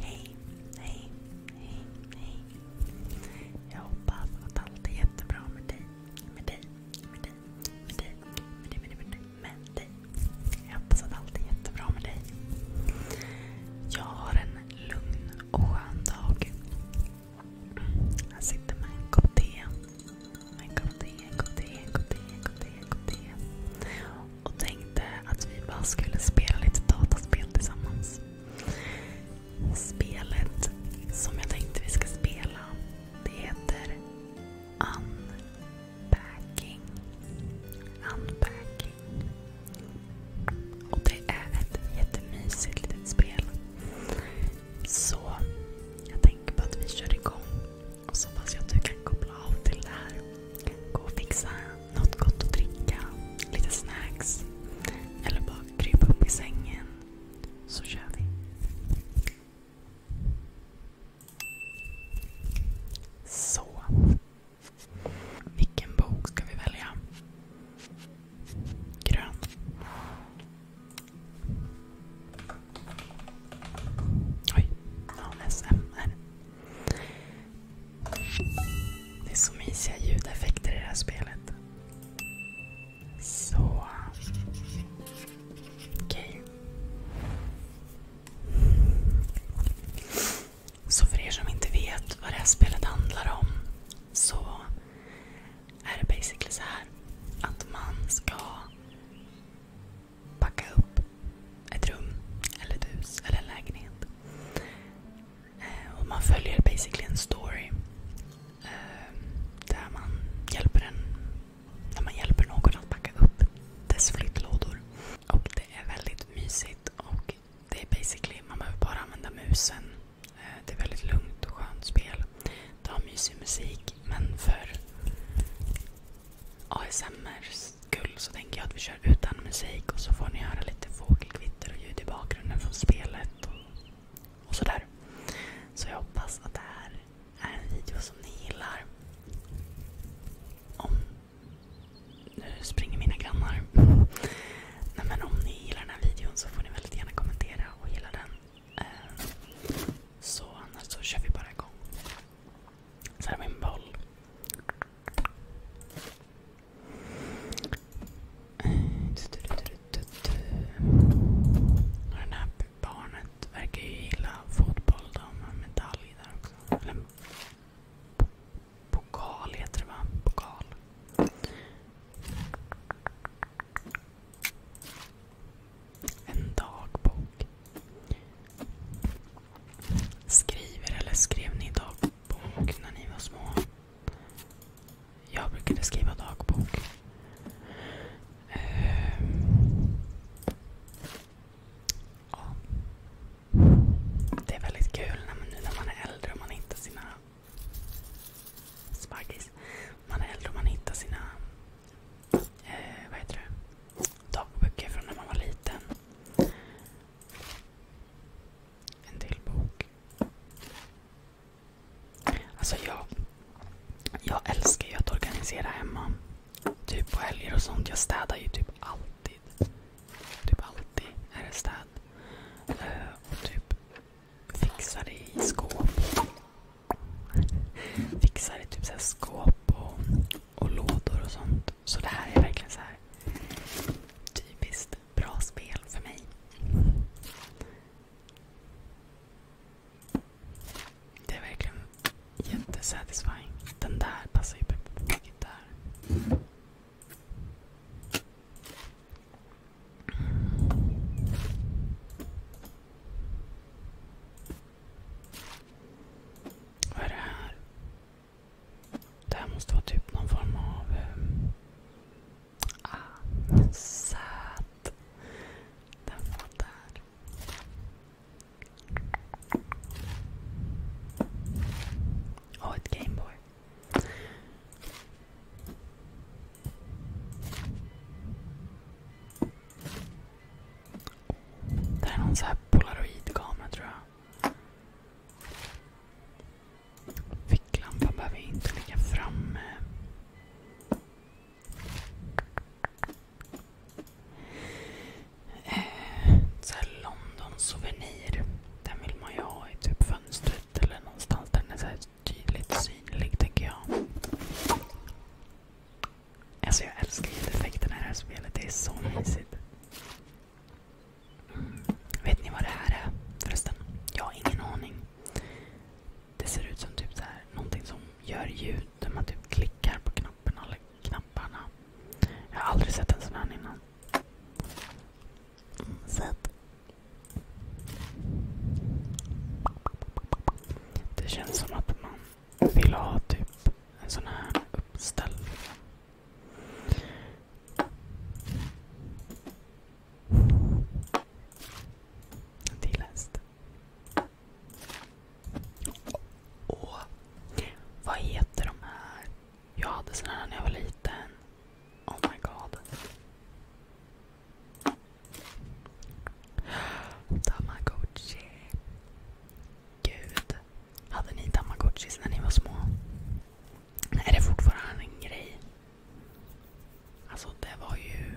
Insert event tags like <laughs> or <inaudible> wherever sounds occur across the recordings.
Hej, hej, hej, hej. Jag hoppas att allt är jättebra med dig. Med dig, med dig, med dig, med dig, Jag hoppas att allt är jättebra med dig. Jag har en lugn och skön dag. Jag sitter med en kopp te. En kopp te, en kopp te, en kopp te, en kopp te, en kopp te och tänkte att vi bara skulle spela lite dataspel tillsammans. Spelet som jag tänkte vi ska spela det heter Unpacking. Unpacking. Och det är ett jättemysigt litet spel. Så jag tänker på att vi kör igång och så hoppas jag att du kan koppla av till det här. Gå och fixa något gott att dricka, lite snacks eller bara krypa upp i sängen så kör vi. Så. Vilken bok ska vi välja? Grön. Oj. ASMR. Det är så mysiga ljudeffekter i det här spelet. Så. Okej. Okay. Så för er som inte vet vad det här spelet handlar om så är det basically så här. Att man ska packa upp ett rum, eller ett hus, eller en lägenhet. Eh, och man följer basically en story. Ehm, där man hjälper, en, där man hjälper någon att packa upp dess flyttlådor. Och det är väldigt mysigt. och det är basically, Man behöver bara använda musen. Eh, det är väldigt lugnt och skönt spel. Det har mysig musik men för ASMRs skull så tänker jag att vi kör utan musik och så får ni höra lite fågelkvitter och ljud i bakgrunden från spelet och, och sådär. Så jag hoppas att det här är en video som ni gillar. Om... Nu springer mina grannar. Nej, men om ni gillar den här videon så får ni väldigt gärna kommentera och gilla den. Eh, så annars så kör vi bara igång. Så här är min boll. Och den här barnet verkar ju gilla fotboll. De har medalj där också. pokal heter det va? En dagbok. Skriver eller skrev ni dagbok? dagbok när ni var små? Jag brukade skriva dagbok. Ehm, ja. Det är väldigt kul när man, nu när man är äldre och man hittar sina spaggis. Man är äldre och man hittar sina eh, vad heter det? dagböcker från när man var liten en till bok. Alltså jag, jag älskar ju att organisera hemma. Typ på helger och sånt. Jag städar ju typ alltid. Typ alltid är det städ. Eh, och typ fixar det i skåp. Fixar i typ så skåp och, och lådor och sånt. Så det här är verkligen så här typiskt bra spel för mig. Det är verkligen jättesatisfying. Den där passar ju perfekt där. Vad är det här? Det här måste vara typ någon form av... Ehm, ah, söt. Den var där. Och ett Gameboy. Det är någon så här polaroidkamera tror jag. Ficklampan behöver inte ligga framme. Eh, Den vill man ju ha i typ fönstret eller någonstans där den är tydligt synlig tänker jag. Alltså jag älskar ljudeffekterna i det här spelet. Det är så mysigt. Vet ni vad det här är förresten? Jag har ingen aning. Det ser ut som typ så här, någonting som gör ljud när man typ klickar på knapparna. Jag har aldrig sett en sån här innan. Det känns som att man vill ha typ en sån här uppställd det är läst. Och vad heter de här? Jag hade såna här när jag var liten. Oh my god. Tamagotchi. Gud. Hade ni tamagotchis när ni var små? Är det fortfarande en grej? Alltså det var ju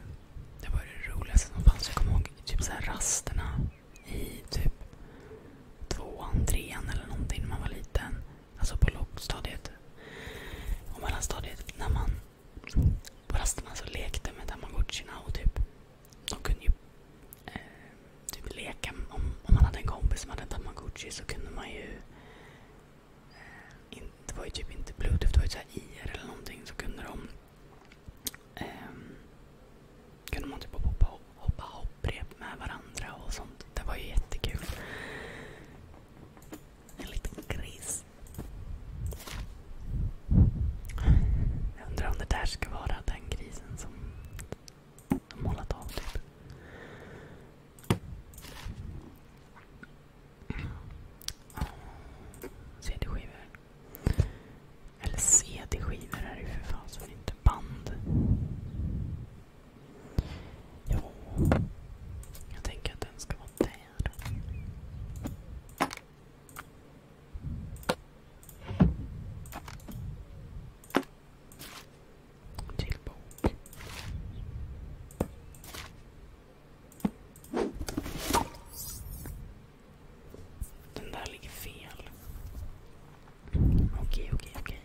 det var det roligaste som fanns. Jag kommer ihåg typ så här rasterna i typ tvåan, trean eller någonting när man var liten. Alltså på lågstadiet och mellanstadiet. När man på rasterna så lekte med tamagotchina och typ de kunde ju eh, typ leka. Om, om man hade en kompis som hade en tamagotchi så kunde man ju det var ju typ inte bluetooth, det var ju såhär IR eller någonting. Så kunde de um, kunde man typ hoppa, hoppa hopprep med varandra och sånt. Det var ju jättekul. En liten gris. Jag undrar om det där ska vara den grisen som och målat av. Typ. CD-skivor. Eller CD-skivor är det ju för fasen inte. Band. Ja. Jag tänker att den ska vara där till bok. Den där ligger fel. Okej, okej, okej.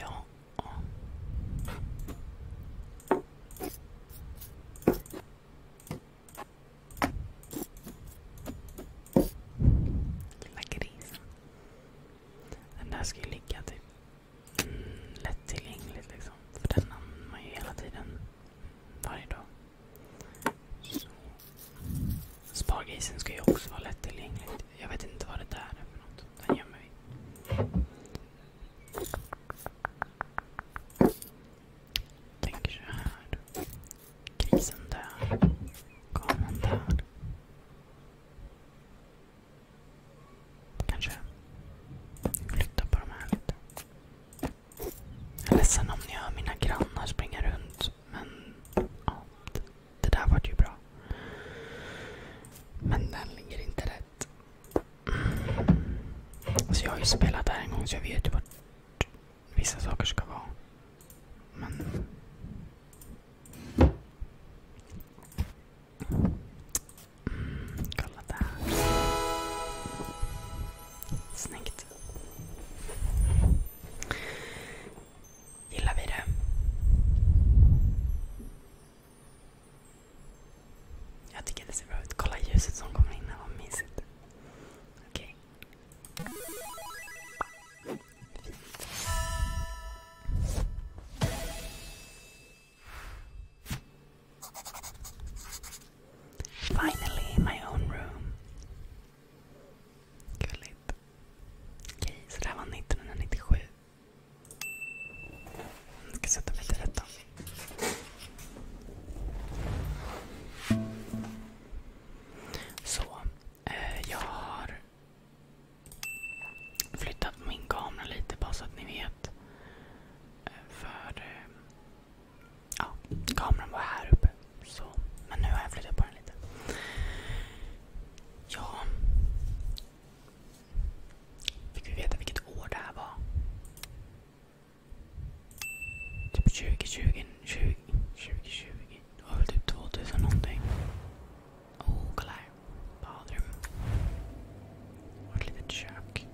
Ja. Lilla grisen. Den där ska ju ligga typ lättillgängligt liksom. För den använder man ju hela tiden. Varje dag. Spargrisen ska ju också vara lättillgänglig. Jag vet inte vad det där är för något. Den gömmer vi. Tänker så här. Grisen dör. Kameran dör. Kanske flytta på de här lite. Jag är ledsen om ni hör mina grannar springa runt. Men ja, det där var ju bra. Men den ligger inte rätt. Så jag har ju spelat där en gång så jag vet ju vart vissa saker ska vara. Men Mm, kolla där. Snyggt. Gillar vi det? Jag tycker det ser bra ut. Kolla ljuset som kommer in. Vad mysigt. Okej. Finally my own room. Gulligt. Okej, så det här var 1997. Jag ska sätta mig till rätta. Så, eh, jag har flyttat min kamera lite bara så att ni vet. Eh, för eh, ja, kameran var här uppe. Så, men nu har jag flyttat på den lite. Ja. Fick vi veta vilket år det här var? Typ 2020, 20, 2020, det var väl typ 2000 någonting. Oh, kolla här. Badrum. Och ett litet kök.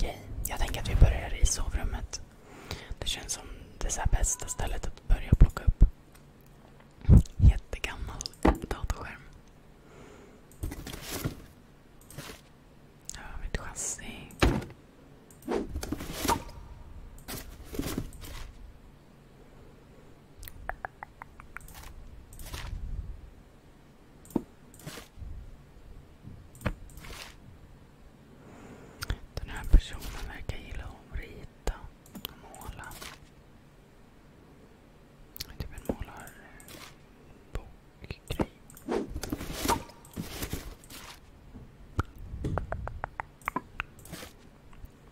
Yay. Okay. Jag tänker att vi börjar i sovrummet. Det känns som det så bästa stället att börja plocka upp. Jättegammal datorskärm. Här har vi ett chassi. Den här personen verkar gilla att rita och måla. Typ en målarbokgrej.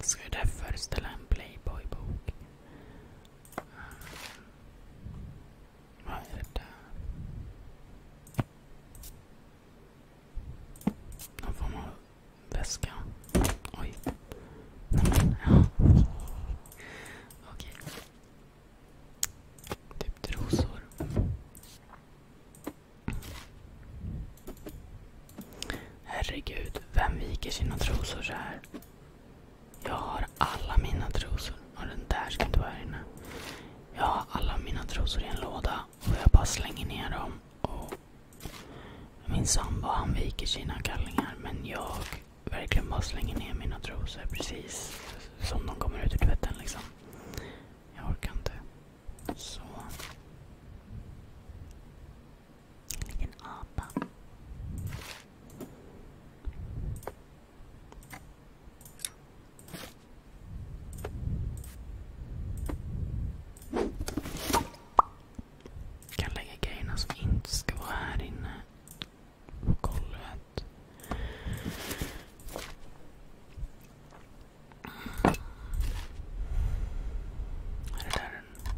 Ska ju där föreställa en Playboy-bok. Vad är det där? Någon form av väska. Oj. Nämen, ja. Okej. Typ trosor. Herregud, vem viker sina trosor så här? Jag har alla mina trosor. Och den där ska inte vara här inne. Jag har alla mina trosor i en låda och jag bara slänger ner dem. Och min sambo han viker sina kallingar men jag verkligen bara slänger ner mina trosor precis som de kommer ut ur tvätten. Liksom. Jag orkar inte. Så. En liten apa. Jag kan lägga grejerna som inte ska vara här inne på golvet. Är det där en...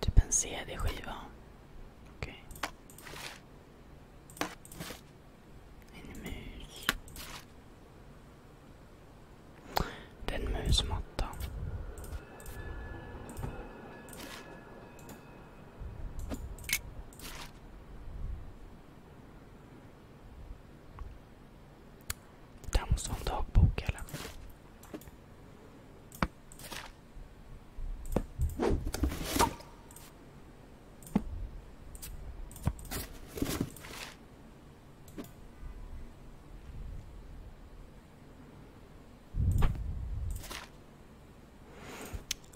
Typ en CD-skiva? Okej. Okay. En mus. Det är en musmatta. Där måste ha en dagbok eller?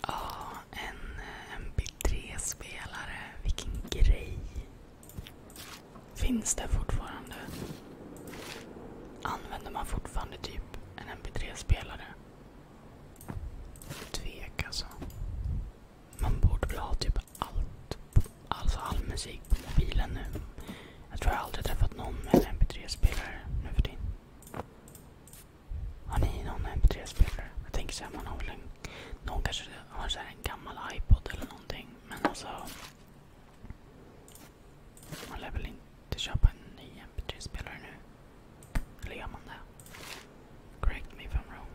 Ja, en MP3-spelare. Eh, Vilken grej. Finns det fortfarande? Använder man fortfarande typ en mp3-spelare? Tvek alltså. Man borde väl ha typ allt. Alltså all musik på mobilen nu. Jag tror jag aldrig träffat någon med en mp3-spelare nu för tiden. Har ni någon mp3-spelare? Jag tänker såhär, man har väl en... Någon kanske har så en gammal iPod eller någonting. Men alltså... Man lär väl inte köpa en ny MP3-spelare nu? Eller gör man det? Correct me if I'm wrong.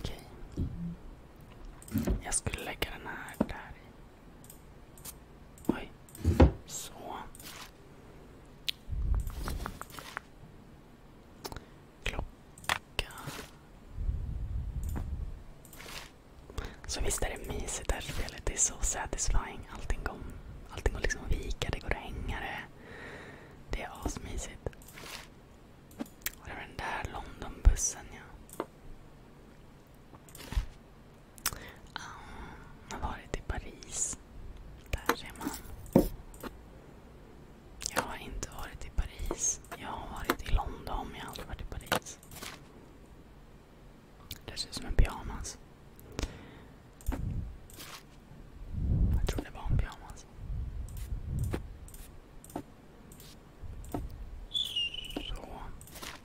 Okej. Okay. Jag skulle lägga den här där i. Oj. Så. Klocka. Så visst är det mysigt det här spelet. Det är så satisfying. Allting går, allting går liksom att vika, det går att hänga det. Det är asmysigt. Och det var den där Londonbussen ja. Um, jag har varit i Paris. Där ser man. Jag har inte varit i Paris. Jag har varit i London men jag har aldrig varit i Paris. Det ser ut som en pyjamas. Jag tror det var en pyjamas. Så.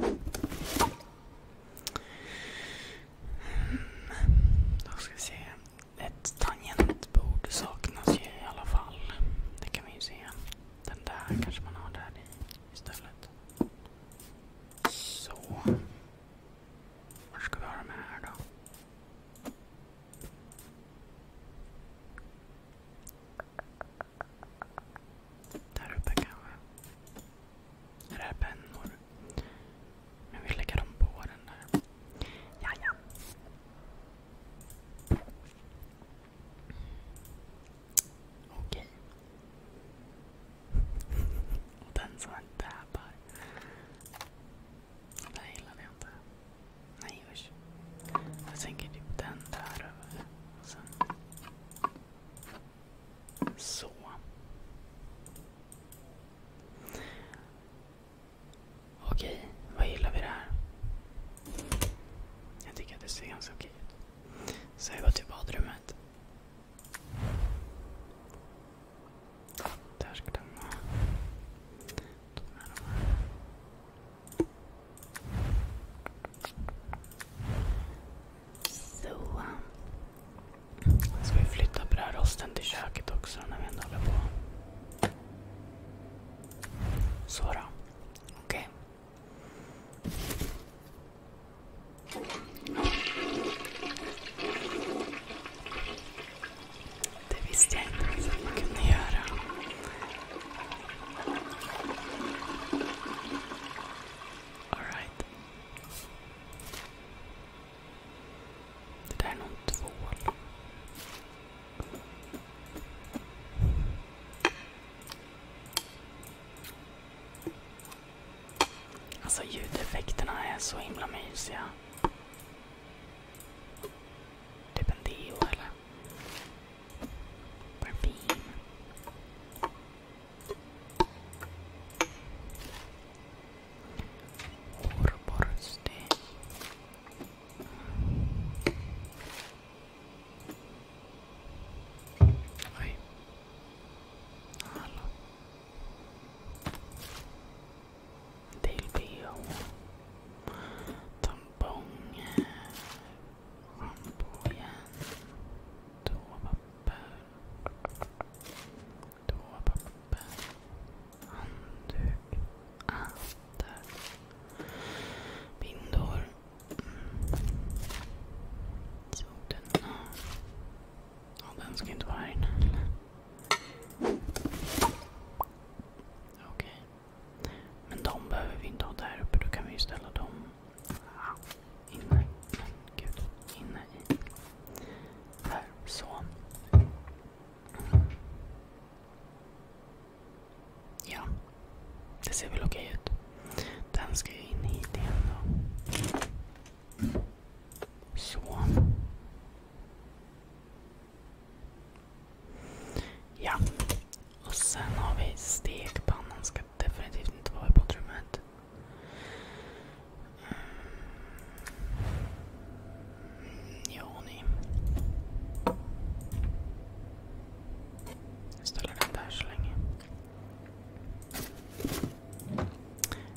Mm. Då ska vi se. Ett tangentbord saknas ju i alla fall. Det kan vi ju se. Den där kanske man har där i istället. Så. Var ska vi ha dem här då? Där uppe kanske. Är det här pennor? Men vi lägger dem på den där. Ja, ja. Okej. <laughs> den som en täpar. Den gillar jag inte. Nej usch. Jag tänker typ den där så. Okej, vad gillar vi det här? Jag tycker att det ser ganska okej ut. Så jag går till badrummet. Där ska den vara. Så. Ska vi flytta brödrosten till köket också när vi ändå håller på? Så då. Okej. Det visste jag inte ens att man kunde göra. All Det där är någon tvål. Alltså ljudeffekterna är så himla mysiga. Typ en deo eller? Or beam. Orborste. Oj. Hallå. Del BH. Tampong. På igen. Toapapper. Handduk. där. Bindor. Mm. den? ska inte vara här inne. Okej. Men de behöver vi inte ha där uppe. Då kan vi ju ställa dem Inne. i. Ja. Det ser väl okej ut. Den ska ju in hit igen då. Så. Ja. Och sen har vi stekpannan ska definitivt inte vara i badrummet. Mm. Ja, ni. Jag ställer den där så länge.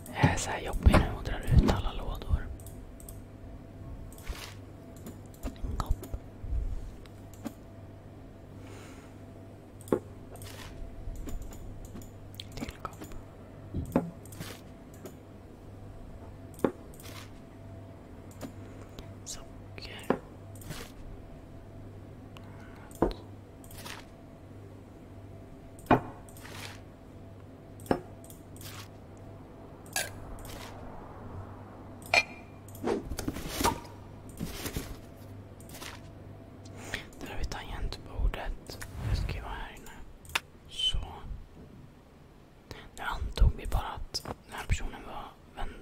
Jag är så här jobbig nu och drar ut alla lådor. En kopp. Tillgång. Socker. Något. Där har vi tangentbordet. Det ska vara här inne. Så. Nu antog vi bara att den här personen var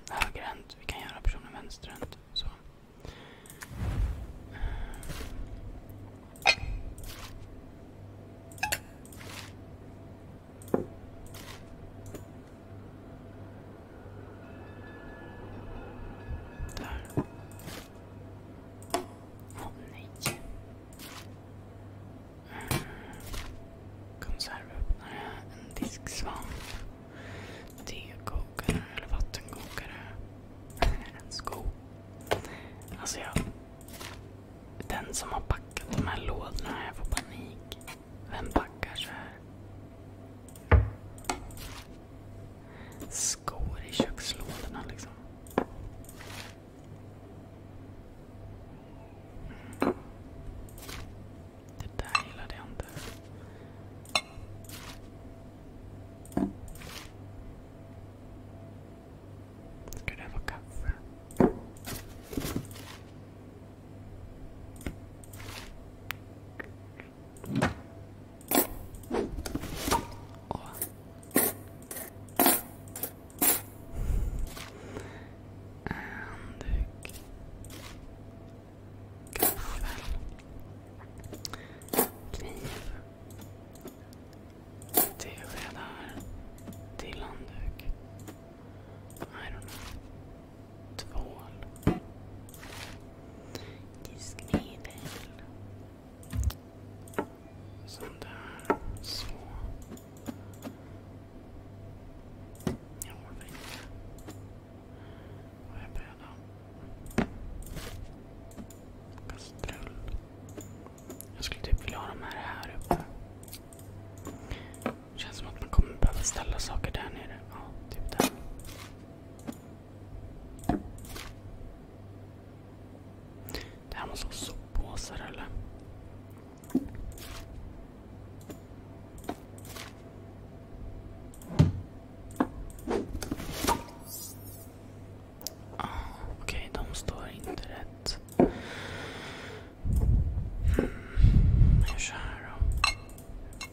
högerhänt. Vi kan göra personen vänsterhänt. Så. Där. Åh nej. Mm. Konservöppnare, en disksvamp, tekokare eller vattenkokare. <laughs> En sko. Alltså jag... Den som har packat de här lådorna, jag får panik. Vem packar så här? Skor i kökslådorna liksom. Det där gillade jag inte. Ska det vara kaffe? Åh. Handduk. Knivar. Kniv. Teskedar. Till handduk. I don't know tvål, diskmedel. Sånt Så. Jag orkar inte. Vad är brödan? Kastrull. Jag skulle typ vilja ha de här här uppe. Känns som att man kommer behöva ställa saker där nere. Ja, typ där. Det här måste vara soppåsar eller? Ah, Okej, okay, de står inte rätt. Mm, jag kör då.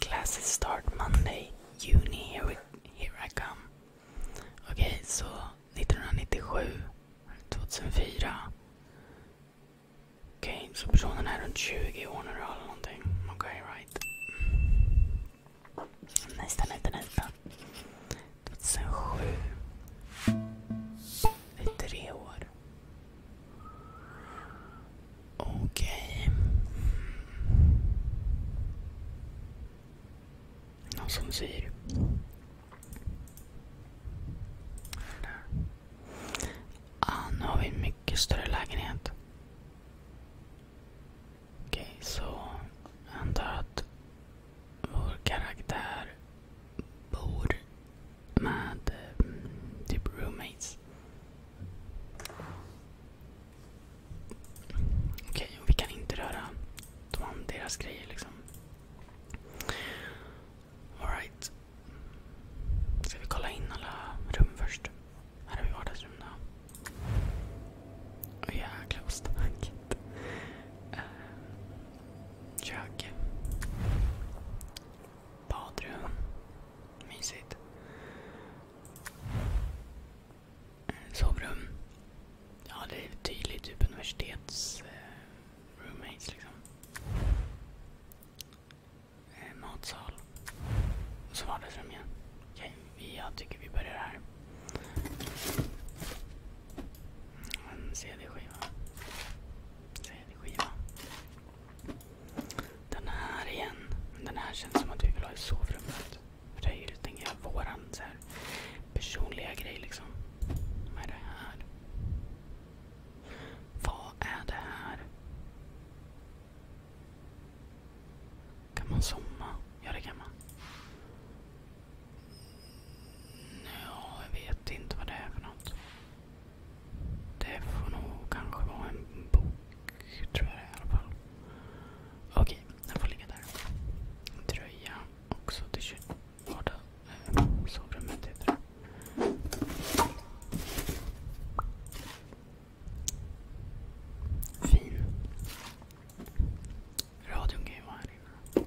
Classes start Monday, Juni, here, here I come. Okej, okay, så so 1997, 2004. Okej, okay, so personen är runt 20 år nu eller någonting. okay, right. Nästa, nästa, nästa. 2007. I tre år. Okej. Okay. Någon som syr. Ah, nu har vi en mycket större lägenhet. Okej, så jag antar att vår karaktär bor med eh, typ roommates. Okej, okay, och vi kan inte röra de, deras grejer liksom. Alright. Ska vi kolla in alla rum först? Här har vi vardagsrum då. Åh oh, jäklar vad starkt. Eh, Kök. Badrum. Mysigt. Eh, sovrum. Ja, det är tydligt typ universitets eh, liksom. Eh, matsal. Och så vardagsrum igen. jag tycker vi börjar här. En CD-skiva. Tredje skivan. Den här igen. Den här känns som att vi vill ha i sovrummet. För det är ju tänker jag, våran så här, personliga grej liksom. Vad är det här? Vad är det här? Kan man somna? Ja, det kan man. Ja, jag vet inte vad det är för något. Det får nog kanske vara en bok, tror jag i alla fall. Okej, den får ligga där. tröja också till vardag. Eh, sovrummet Fin. Radion kan ju vara här inne.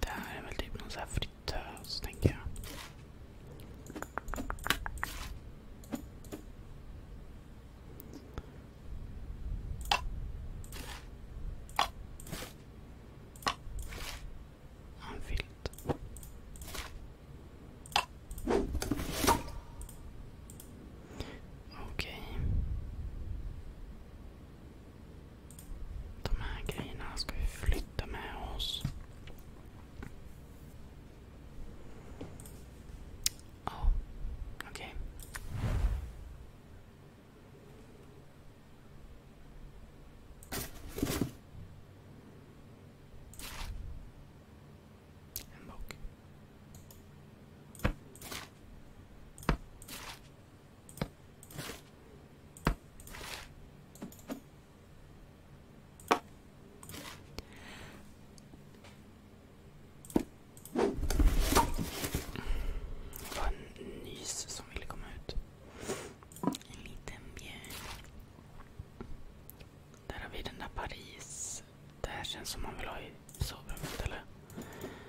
Det här är väl typ någon sån här fritös, tänker jag. En filt. Okej. De här grejerna ska vi flytta med oss. Ja, oh, okej. Okay. En bok. Det var en nys som ville komma ut. En liten björn. Där har vi den där Paris. Det här känns som man vill ha i sovrummet eller?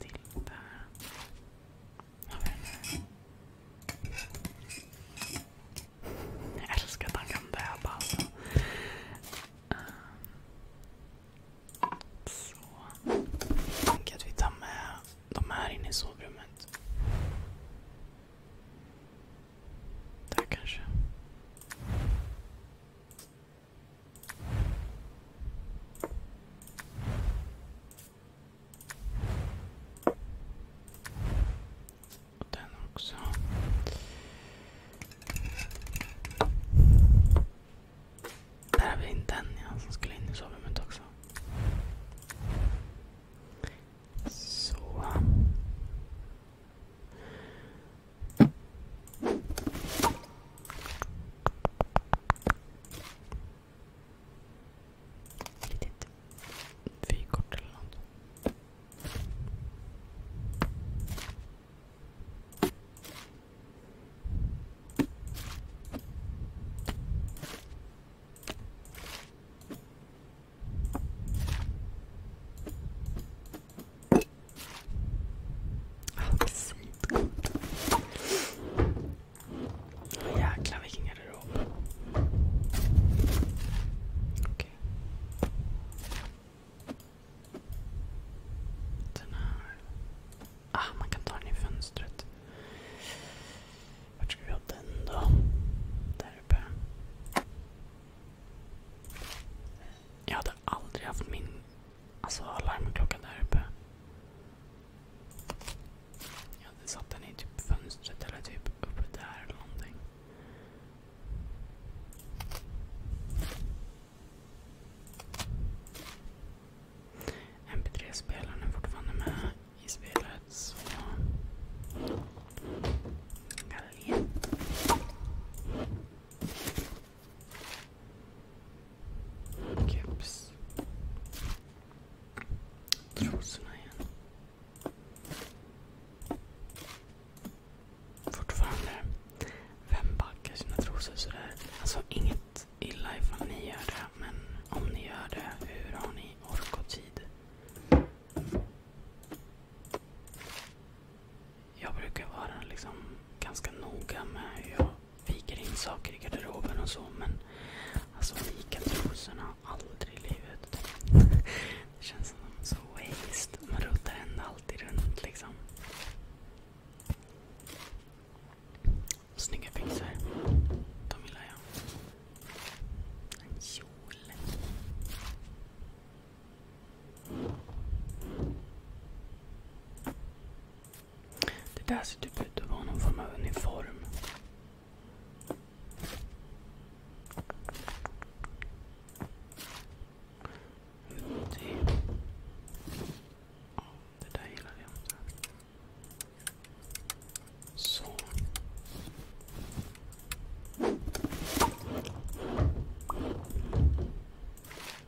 till där. Jag älskar att han kan väva alltså. ehm, Jag tänker att vi tar med de här inne i sovrummet. Där kanske. Och den också. Där har vi in den ja, som skulle in i sovrummet också. Så. Litet vykort eller något. Apelsintgott. Jäklar vilken garderob. Okej. Den här. Ah, man kan ta den i fönstret. Vart ska vi ha den då? Där uppe. Jag hade aldrig haft min Alltså larmklockan där uppe. Jag hade satt den i typ fönstret eller typ uppe där eller någonting. MP3-spelaren är fortfarande med i spelet så... Galleri. Keps. Trosorna igen. Fortfarande. Vem backar sina trosor sådär? Alltså inget illa ifall ni gör det. Men om ni gör det, hur har ni ork och tid? Jag brukar vara liksom ganska noga med hur jag viker in saker i garderoben och så. Men alltså vika trosorna, aldrig i livet. <laughs> Det känns som så waste. Man ruttar händerna alltid runt liksom. Snygga byxor. De gillar jag. En kjol. Det där ser typ ut att vara någon form av uniform. Det, där gillar jag inte.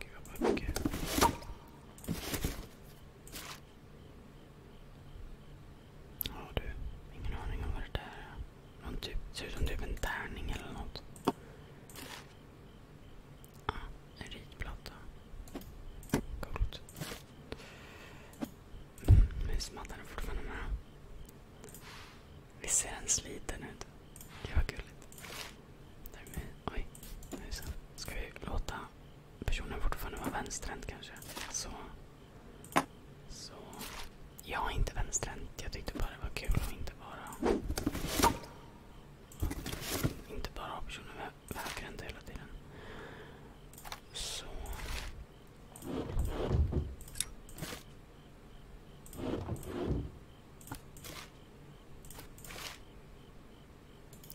Give up, give up. Ja du, ingen aning om vad det där är. Någon typ, ser ut som typ en tärning eller något. Ah, en ritplatta. Coolt. Mm, men smattar den fortfarande med. Vi ser den sliten ut? Gud vad gulligt. Ska vi låta personen fortfarande vara vänsterhänt kanske? Så. Så. Jag är inte vänsterhänt. Jag tyckte bara det var kul att inte bara... Inte bara ha personer högerhänta hela tiden. Så.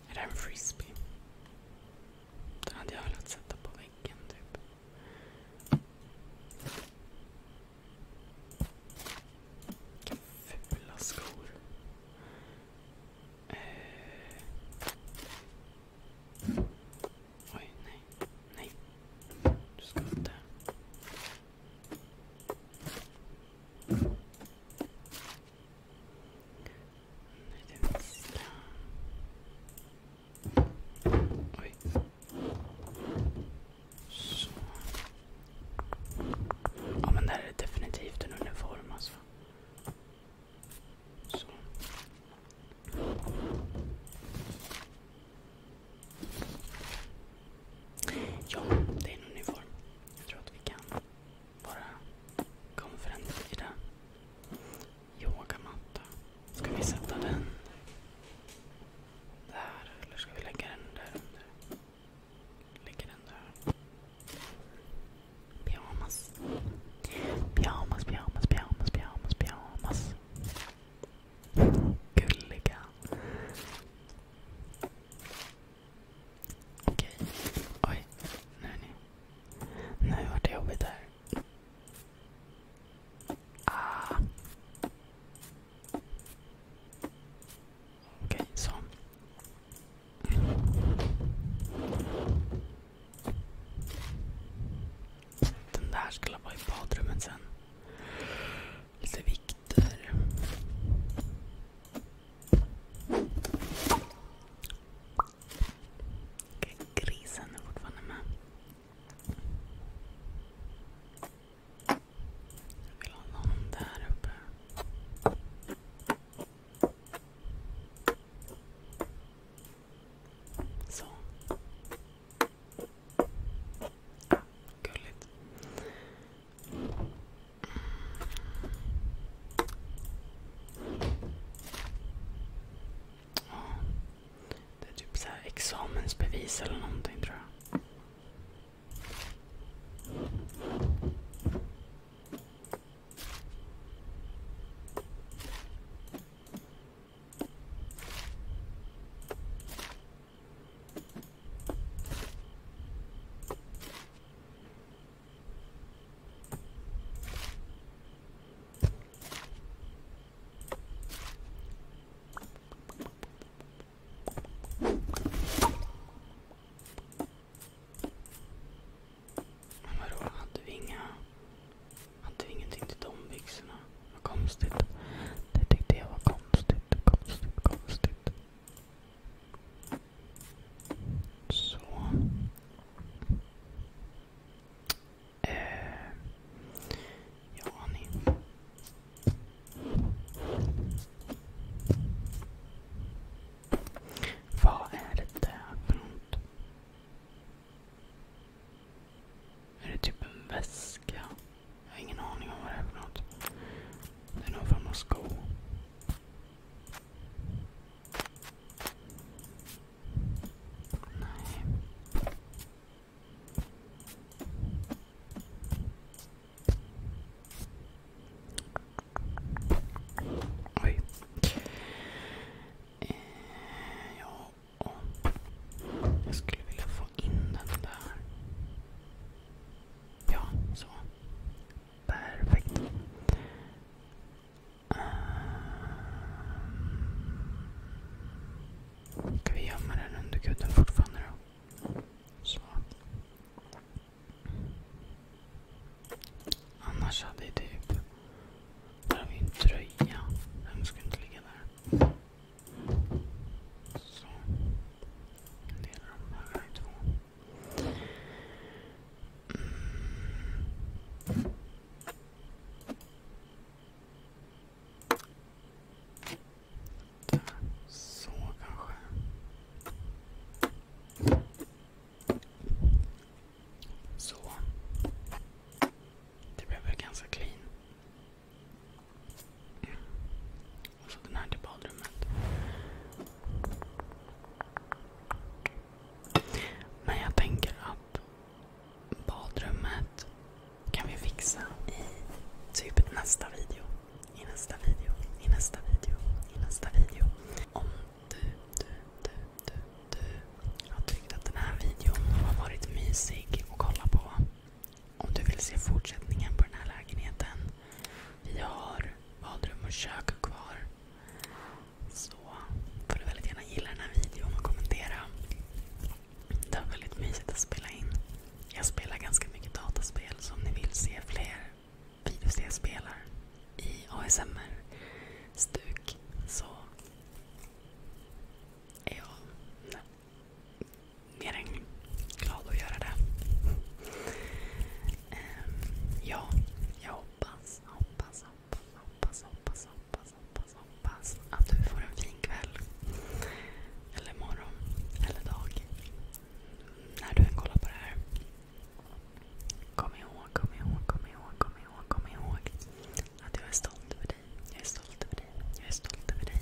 Är det en frisbee? Den hade jag velat sätta på väggen typ. Vilka fula skor. Eh. Oj, nej. Nej. Du ska inte. Oj. Så. Ja men det här är definitivt en uniform alltså. Så. Ja, det är en uniform. Jag tror att vi kan vara konferens i den. Yogamatta. Ska vi sätta den där eller ska vi lägga den där under? Lägger den där. Pyjamas. Pyjamas, pyjamas, pyjamas, pyjamas, pyjamas. Gulliga. Okej. Oj. Nu är ni. Nu vart det jobbigt här. Ah. Okej, så. Den där skulle vara i badrummet sen. Lite Kontakter. grisen är fortfarande med. Jag vill ha någon där uppe. Så. Gulligt. Det är typ så här examensbevis eller någonting tror jag. Men vadå, hade vi inga... Hade vi ingenting till de byxorna? Vad konstigt. Det tyckte jag var konstigt. Konstigt, konstigt. Så. Eh, ja, ni. Vad är det där för något? Är det typ en väska? Jag har ingen aning om vad det är för något. Det är nog form av sko. Nej. Oj. Eh, jag skulle vilja få in den där. Ja, så. Perfekt. Ehm, ska vi gömma den under kudden fortfarande då? Så. Annars hade jag typ... Där har vi en tröja. Den ska inte ligga där. Så. Delar de här i två. Mm. Där. Så kanske. Så. Det blev väl ganska clean. Och så alltså, den här till typ badrummet. Men jag tänker att badrummet kan vi fixa i typ nästa video. I nästa video. I nästa video. I nästa video. Om du, du, du, du, du har tyckt att den här videon har varit mysig att kolla på om du vill se fortsättningen på den här lägenheten. Vi har badrum och kök kvar. Så får du väldigt gärna gilla den här videon och kommentera. Det var väldigt mysigt att spela in. Jag spelar ganska mycket dataspel så om ni vill se fler videos jag spelar i ASMR-stuk så är jag nöjd mer än glad att göra det. Ehm, ja, jag hoppas, hoppas, hoppas, hoppas, hoppas, hoppas, hoppas, hoppas att du får en fin kväll. Eller morgon. Eller dag. När du än kollar på det här. Kom ihåg, kom ihåg, kom ihåg, kom ihåg, kom ihåg att jag är stolt över dig. Jag är stolt över dig. Jag är stolt över dig.